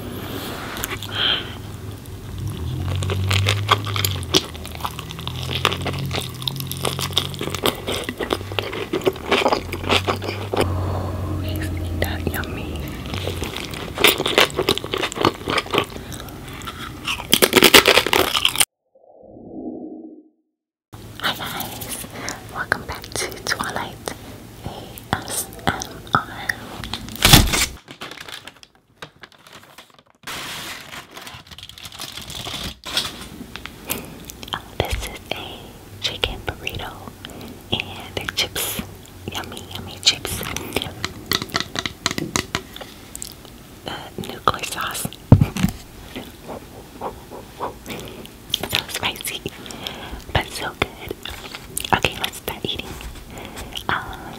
Oh, isn't that yummy? Hi guys, welcome back to Twilight Oh, this is a chicken burrito and the chips. Yummy, yummy chips. The uh, nuclear sauce. so spicy. But so Okay, let's start eating. Um,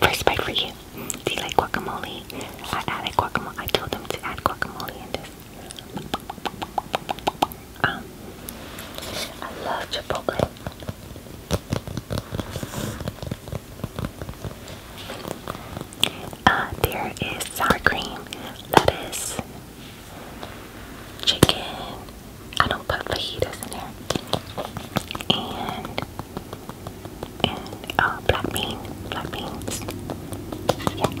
first bite for you. Do you like guacamole? I added guacamole. I told them to add guacamole in this. Um, I love Chipotle. Uh, there is sour cream, lettuce, chicken. I don't put fajitas in there. And and uh, black bean, black beans. Yeah.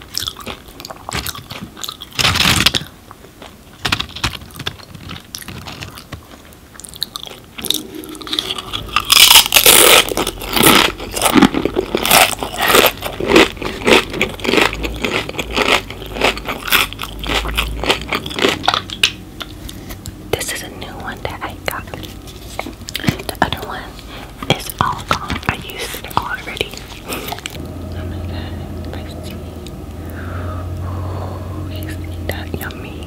This is a new one that I got. The other one it's all gone. I used it already. oh my god, tasty. Oh, is that yummy?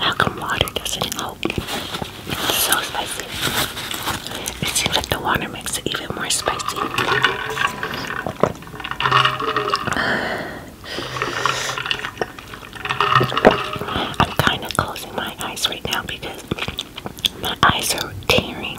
How come water doesn't help? It's so spicy. It seems like the water makes it even more spicy. I'm kind of closing my eyes right now because my eyes are tearing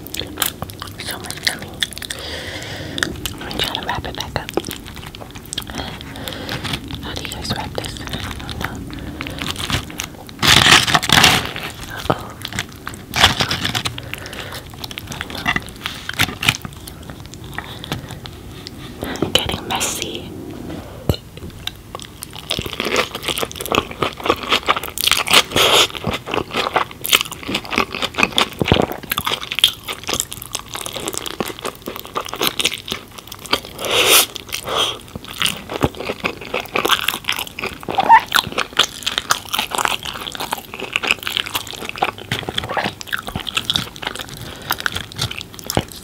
So much gummy. Let me try to wrap it back up. How do you guys wrap this? Getting messy. It's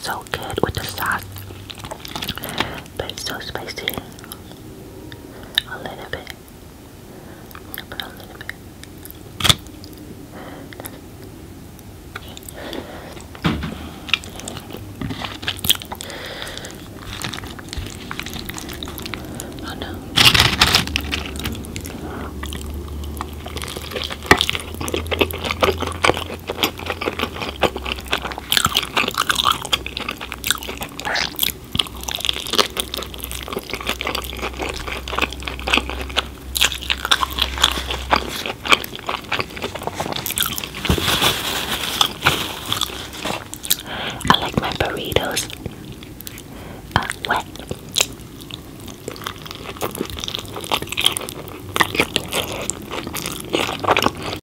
so good with the sauce but it's so spicy. A little bit. But a little bit. Oh no. I like my burritos uh, wet. I love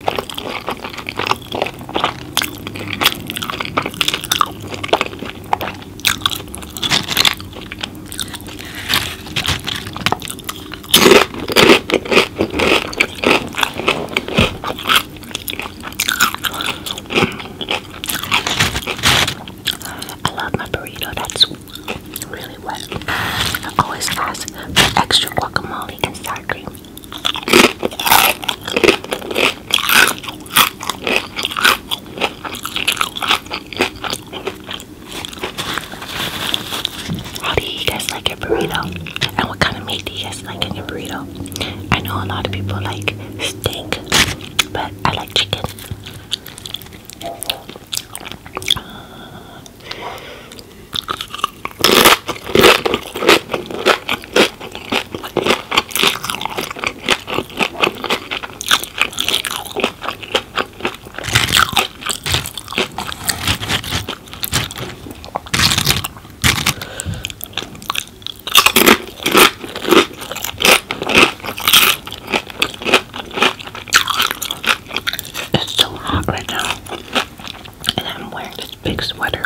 my burrito, that's really wet. I always ask for extra guacamole and sour cream. How do you guys like your burrito? And what kind of meat do you guys like in your burrito? I know a lot of people like steak, but I like chicken. It's so hot right now and I'm wearing this big sweater.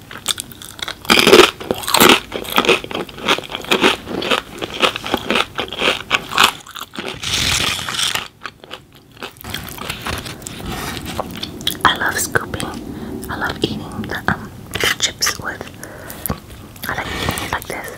I love scooping. I love eating the um, chips with. I like like this.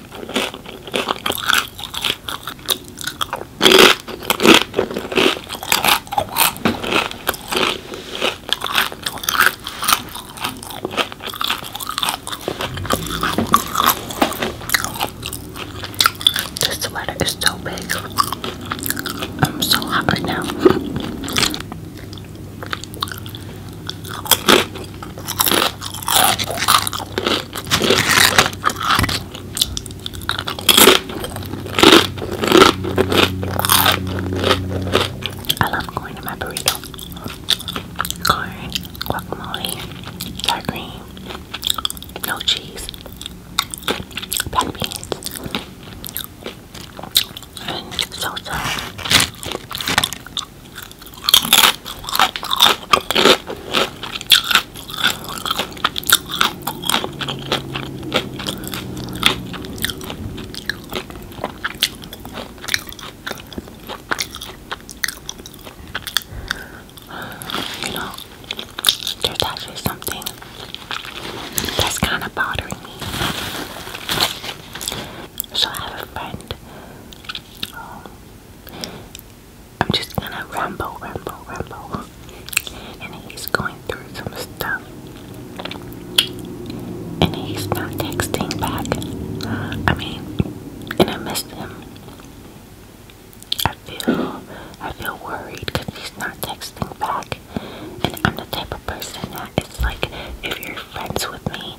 This sweater is so big. I'm so hot right now. I love going to my burrito. Corn, guacamole, sour cream, no cheese, black beans, and salsa. You know, there's actually something that's kind of bothering me. So I have a friend. Um, I'm just gonna ramble, ramble, ramble. And he's going through some stuff. And he's not texting back. I mean, and I missed him. I feel, I feel worried because he's not texting back. And I'm the type of person that it's like, if you're friends with me,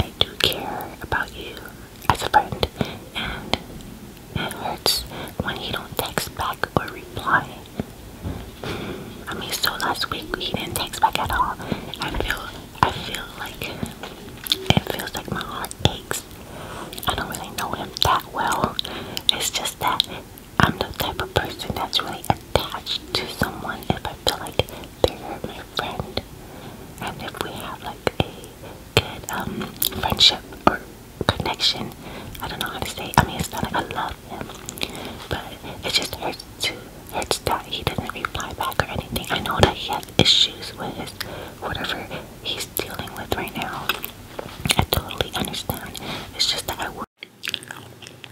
I do care about you as a friend, and it hurts when he don't text back or reply. I mean, so last week he didn't text back at all. I feel, I feel like it feels like my heart aches. I don't really know him that well. It's just that I'm the type of person that's really attached to someone if I feel like they my friend. And if we have like a good um, friendship or connection, I don't know how to say. I mean, it's not like I love him, but it just hurts to hurts that he doesn't reply back or anything. I know that he has issues with whatever he's dealing with right now. I totally understand. It's just that I.